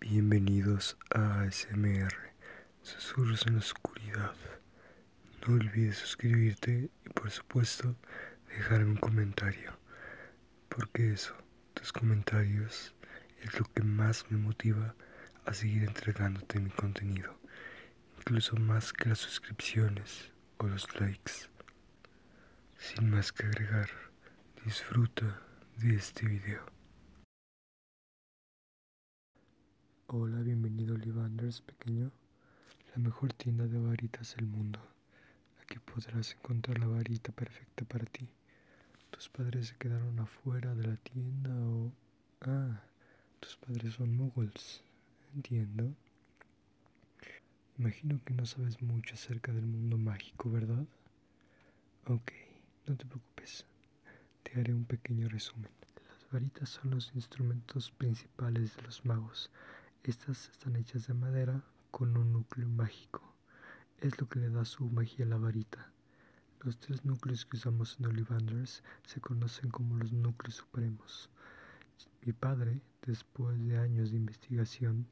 Bienvenidos a ASMR, Susurros en la Oscuridad. No olvides suscribirte y por supuesto dejarme un comentario, porque eso, tus comentarios, es lo que más me motiva a seguir entregándote mi contenido, incluso más que las suscripciones o los likes. Sin más que agregar disfruta de este video. Hola, bienvenido a pequeño, la mejor tienda de varitas del mundo. Aquí podrás encontrar la varita perfecta para ti. Tus padres se quedaron afuera de la tienda o... Ah, tus padres son muggles. Entiendo. Imagino que no sabes mucho acerca del mundo mágico, ¿verdad? Ok, no te preocupes, te haré un pequeño resumen. Las varitas son los instrumentos principales de los magos. Estas están hechas de madera con un núcleo mágico. Es lo que le da su magia a la varita. Los tres núcleos que usamos en Ollivanders se conocen como los núcleos supremos. Mi padre, después de años de investigación,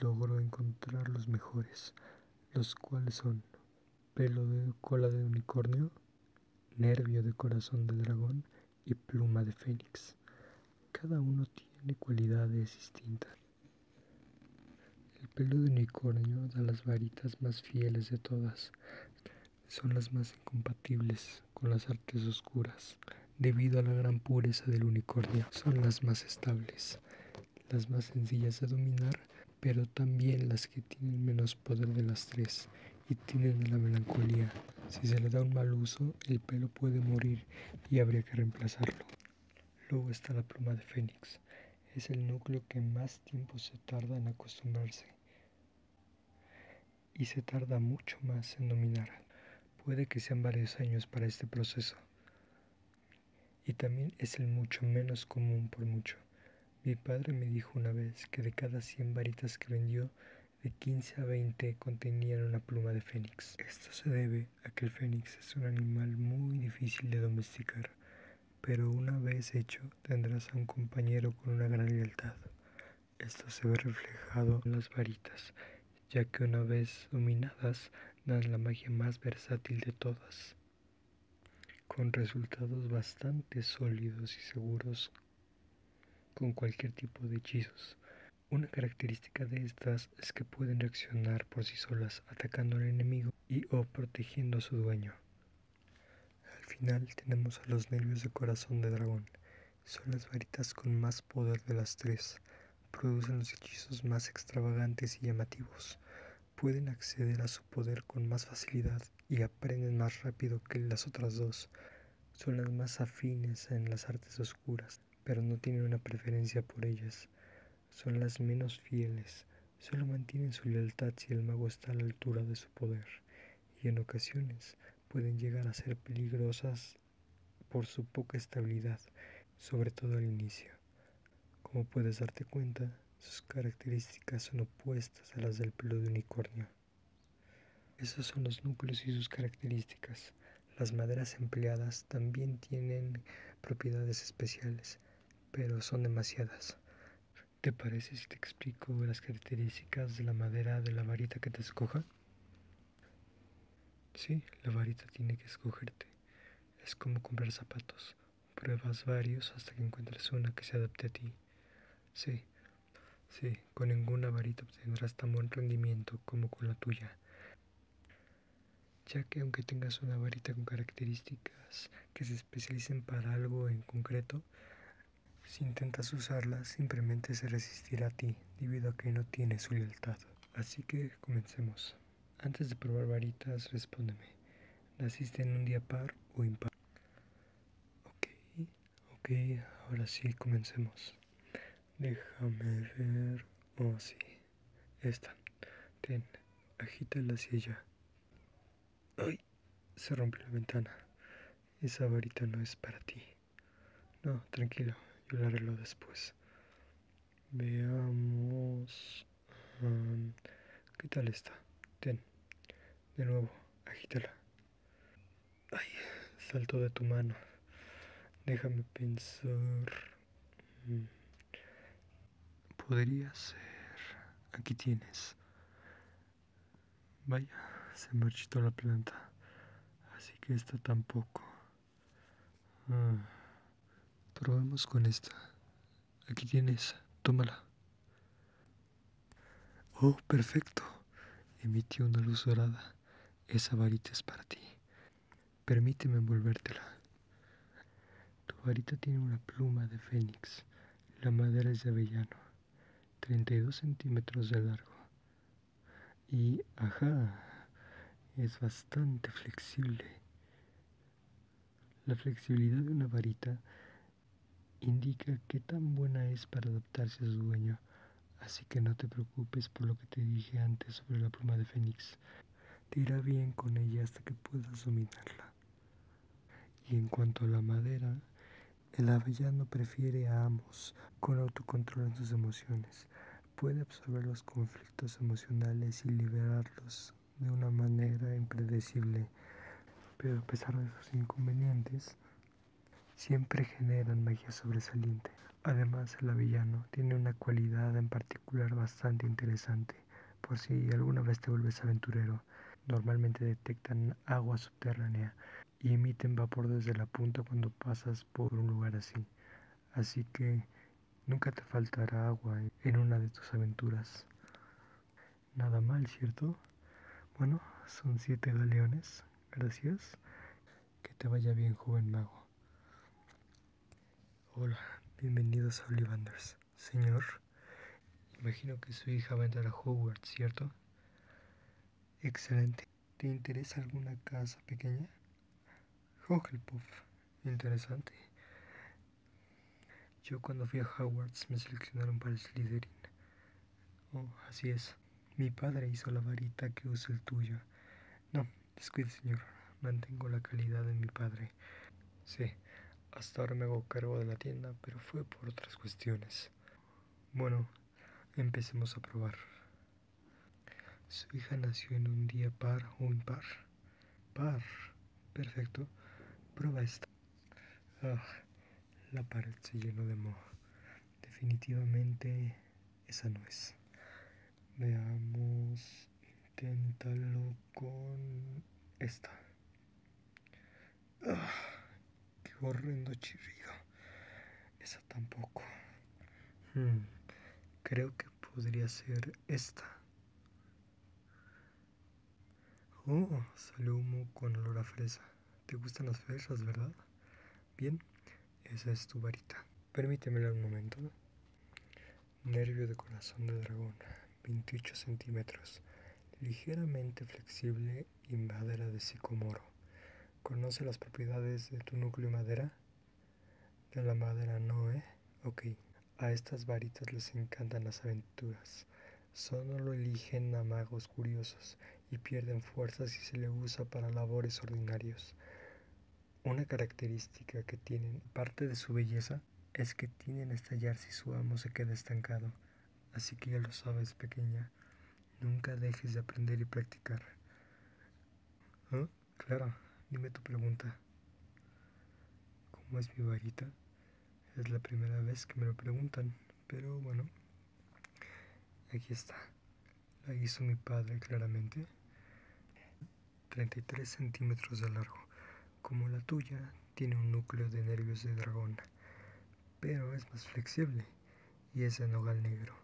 logró encontrar los mejores, los cuales son pelo de cola de unicornio, nervio de corazón de dragón y pluma de fénix. Cada uno tiene cualidades distintas. El pelo de unicornio da las varitas más fieles de todas. Son las más incompatibles con las artes oscuras. Debido a la gran pureza del unicornio, son las más estables las más sencillas de dominar, pero también las que tienen menos poder de las tres y tienen la melancolía. Si se le da un mal uso, el pelo puede morir y habría que reemplazarlo. Luego está la pluma de Fénix. Es el núcleo que más tiempo se tarda en acostumbrarse y se tarda mucho más en dominar. Puede que sean varios años para este proceso y también es el mucho menos común por mucho. Mi padre me dijo una vez que de cada 100 varitas que vendió, de 15 a 20 contenían una pluma de fénix. Esto se debe a que el fénix es un animal muy difícil de domesticar, pero una vez hecho tendrás a un compañero con una gran lealtad. Esto se ve reflejado en las varitas, ya que una vez dominadas dan la magia más versátil de todas, con resultados bastante sólidos y seguros con cualquier tipo de hechizos. Una característica de estas es que pueden reaccionar por sí solas atacando al enemigo y o protegiendo a su dueño. Al final tenemos a los nervios de corazón de dragón. Son las varitas con más poder de las tres producen los hechizos más extravagantes y llamativos, pueden acceder a su poder con más facilidad y aprenden más rápido que las otras dos. Son las más afines en las artes oscuras, pero no tienen una preferencia por ellas. Son las menos fieles, solo mantienen su lealtad si el mago está a la altura de su poder, y en ocasiones pueden llegar a ser peligrosas por su poca estabilidad, sobre todo al inicio. Como puedes darte cuenta, sus características son opuestas a las del pelo de unicornio. Esos son los núcleos y sus características. Las maderas empleadas también tienen propiedades especiales, pero son demasiadas. ¿Te parece si te explico las características de la madera de la varita que te escoja? Sí, la varita tiene que escogerte. Es como comprar zapatos. Pruebas varios hasta que encuentres una que se adapte a ti. Sí, sí, con ninguna varita obtendrás tan buen rendimiento como con la tuya. Ya que aunque tengas una varita con características que se especialicen para algo en concreto, si intentas usarla, simplemente se resistirá a ti, debido a que no tiene su lealtad. Así que comencemos. Antes de probar varitas, respóndeme. ¿Naciste en un día par o impar? Ok, ok, ahora sí, comencemos. Déjame ver. Oh, sí. Esta. Ten, agítala hacia silla. ¡Ay! Se rompe la ventana. Esa varita no es para ti. No, tranquilo, yo la arreglo después. Veamos. Um, ¿Qué tal está? Ten. De nuevo, agítala. Ay, salto de tu mano. Déjame pensar. Mm. Podría ser. Aquí tienes. Vaya, se marchitó la planta. Así que esta tampoco. Ah, probemos con esta. Aquí tienes, tómala. Oh, perfecto. Emitió una luz dorada. Esa varita es para ti. Permíteme envolvértela. Tu varita tiene una pluma de fénix. La madera es de avellano, 32 centímetros de largo y ajá, es bastante flexible. La flexibilidad de una varita indica qué tan buena es para adaptarse a su dueño, así que no te preocupes por lo que te dije antes sobre la pluma de Fénix. Te irá bien con ella hasta que puedas dominarla. Y en cuanto a la madera, el avellano prefiere a ambos, con autocontrol en sus emociones, puede absorber los conflictos emocionales y liberarlos de una manera impredecible, pero a pesar de sus inconvenientes, siempre generan magia sobresaliente. Además, el avellano tiene una cualidad en particular bastante interesante, por si alguna vez te vuelves aventurero. Normalmente detectan agua subterránea y emiten vapor desde la punta cuando pasas por un lugar así así que nunca te faltará agua en una de tus aventuras. Nada mal, ¿cierto? Bueno, son siete galeones, gracias. Que te vaya bien, joven mago. Hola, bienvenidos a Ollivanders. Señor, imagino que su hija va a entrar a Hogwarts, ¿cierto? Excelente. ¿Te interesa alguna casa pequeña? puff, interesante. Yo cuando fui a Hogwarts me seleccionaron para el Slytherin. Oh, así es. Mi padre hizo la varita que usa el tuyo. No, descuide señor. Mantengo la calidad de mi padre. Sí, hasta ahora me hago cargo de la tienda, pero fue por otras cuestiones. Bueno, empecemos a probar. Su hija nació en un día par o impar. Par. Perfecto. Prueba esta. Ah, la pared se llenó de moho. Definitivamente esa no es. Veamos. Inténtalo con esta. Ah, qué horrendo chirrido. Esa tampoco. Hmm, creo que podría ser esta. Oh, salió humo con olor a fresa. Te gustan las fresas, ¿verdad? Bien, esa es tu varita. Permítemela un momento. Nervio de corazón de dragón, 28 centímetros. Ligeramente flexible invadera de sicomoro. ¿Conoce las propiedades de tu núcleo madera? de la madera, ¿no, eh? Ok. A estas varitas les encantan las aventuras. Solo eligen a magos curiosos y pierden fuerza si se le usa para labores ordinarios. Una característica que tienen, parte de su belleza, es que tienen a estallar si su amo se queda estancado. Así que ya lo sabes, pequeña. Nunca dejes de aprender y practicar. ¿Ah? Claro, dime tu pregunta. ¿Cómo es mi varita? Es la primera vez que me lo preguntan, pero bueno, aquí está. La hizo mi padre claramente. 33 centímetros de largo. Como la tuya, tiene un núcleo de nervios de dragón, pero es más flexible y es de nogal negro.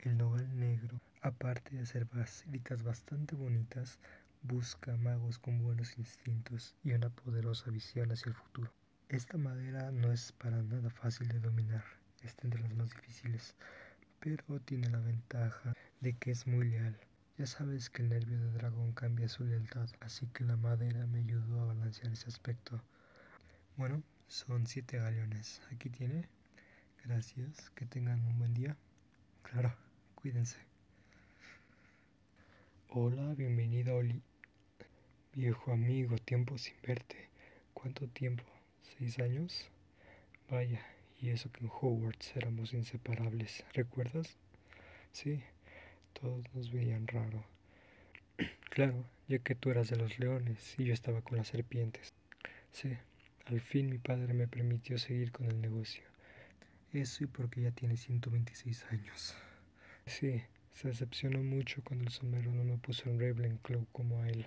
El nogal negro, aparte de hacer basílicas bastante bonitas, busca magos con buenos instintos y una poderosa visión hacia el futuro. Esta madera no es para nada fácil de dominar, es de las más difíciles, pero tiene la ventaja de que es muy leal. Ya sabes que el nervio de dragón cambia su lealtad, así que la madera me ayudó a balancear ese aspecto. Bueno, son siete galeones. Aquí tiene Gracias, que tengan un buen día. Claro, cuídense. Hola, bienvenido Oli. Viejo amigo, tiempo sin verte. ¿Cuánto tiempo? ¿Seis años? Vaya, y eso que en Hogwarts éramos inseparables, ¿recuerdas? Sí, todos nos veían raro. claro, ya que tú eras de los leones y yo estaba con las serpientes. Sí, al fin mi padre me permitió seguir con el negocio. Eso y porque ya tiene 126 años. Sí, se decepcionó mucho cuando el sombrero no me puso en Ravenclaw como a él.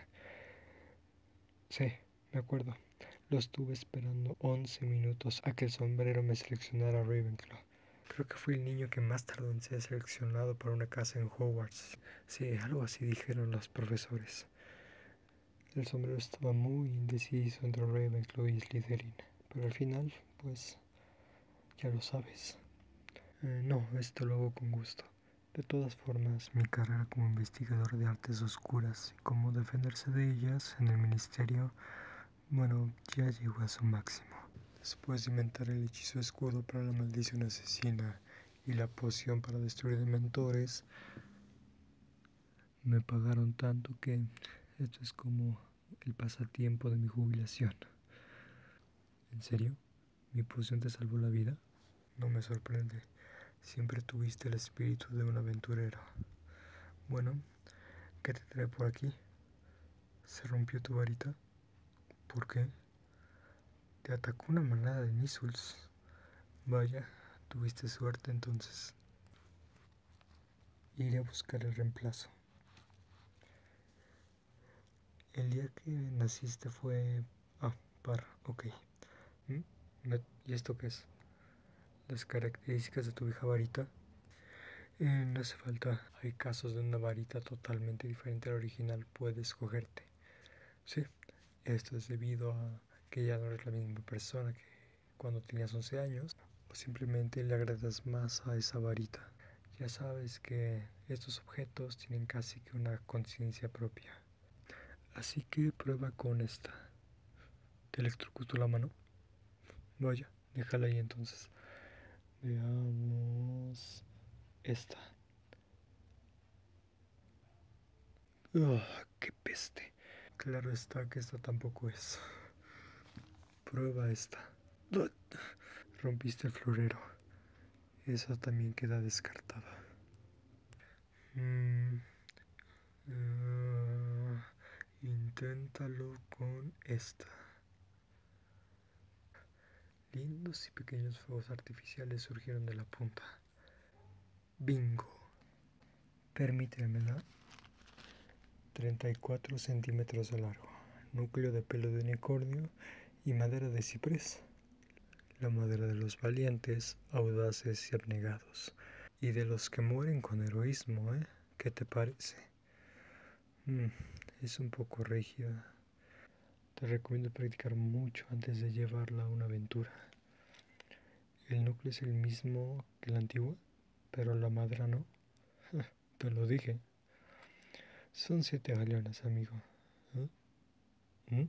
Sí, me acuerdo. Lo estuve esperando 11 minutos a que el sombrero me seleccionara Ravenclaw. Creo que fui el niño que más tarde en ser seleccionado para una casa en Hogwarts. Sí, algo así dijeron los profesores. El sombrero estaba muy indeciso entre Ravenclaw y Slytherin, pero al final, pues, ya lo sabes. Eh, no, esto lo hago con gusto. De todas formas, mi carrera como investigador de artes oscuras y cómo defenderse de ellas en el ministerio, bueno, ya llegó a su máximo. Después de inventar el hechizo escudo para la maldición asesina y la poción para destruir dementores me pagaron tanto que esto es como el pasatiempo de mi jubilación. ¿En serio? ¿Mi poción te salvó la vida? No me sorprende. Siempre tuviste el espíritu de un aventurero. Bueno, ¿qué te trae por aquí? ¿Se rompió tu varita? ¿Por qué? Te atacó una manada de Nisuls. Vaya, tuviste suerte entonces. Iré a buscar el reemplazo. El día que naciste fue... Ah, par, ok. ¿Mm? ¿Y esto qué es? Las características de tu vieja varita. Eh, no hace falta. Hay casos de una varita totalmente diferente a la original. Puedes escogerte. Sí, esto es debido a que ya no eres la misma persona que cuando tenías 11 años, o simplemente le agradas más a esa varita. Ya sabes que estos objetos tienen casi que una conciencia propia. Así que prueba con esta. ¿Te electrocutó la mano? Vaya, déjala ahí entonces. Veamos esta. Ah, ¡Qué peste! Claro está que esta tampoco es. Prueba esta. Rompiste el florero. Esa también queda descartada. Mm, ah, inténtalo con esta. Lindos y pequeños fuegos artificiales surgieron de la punta. Bingo. Permítemela. 34 centímetros de largo. Núcleo de pelo de unicornio y madera de ciprés. La madera de los valientes, audaces y abnegados. Y de los que mueren con heroísmo, ¿eh? ¿Qué te parece? Mm, es un poco rígida. Te recomiendo practicar mucho antes de llevarla a una aventura. El núcleo es el mismo que la antigua, pero la madra no. Te lo dije. Son siete galeonas, amigo. ¿Eh? ¿Mm?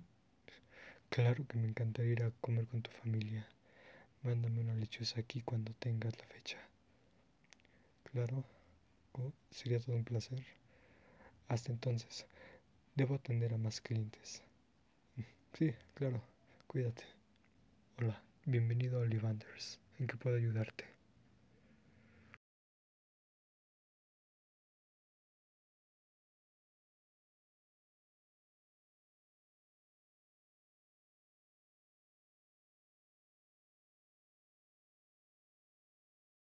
Claro que me encantaría ir a comer con tu familia. Mándame una lechuza aquí cuando tengas la fecha. Claro, Oh, sería todo un placer. Hasta entonces, debo atender a más clientes. Sí, claro, cuídate. Hola, bienvenido a Olivanders. ¿En qué puedo ayudarte?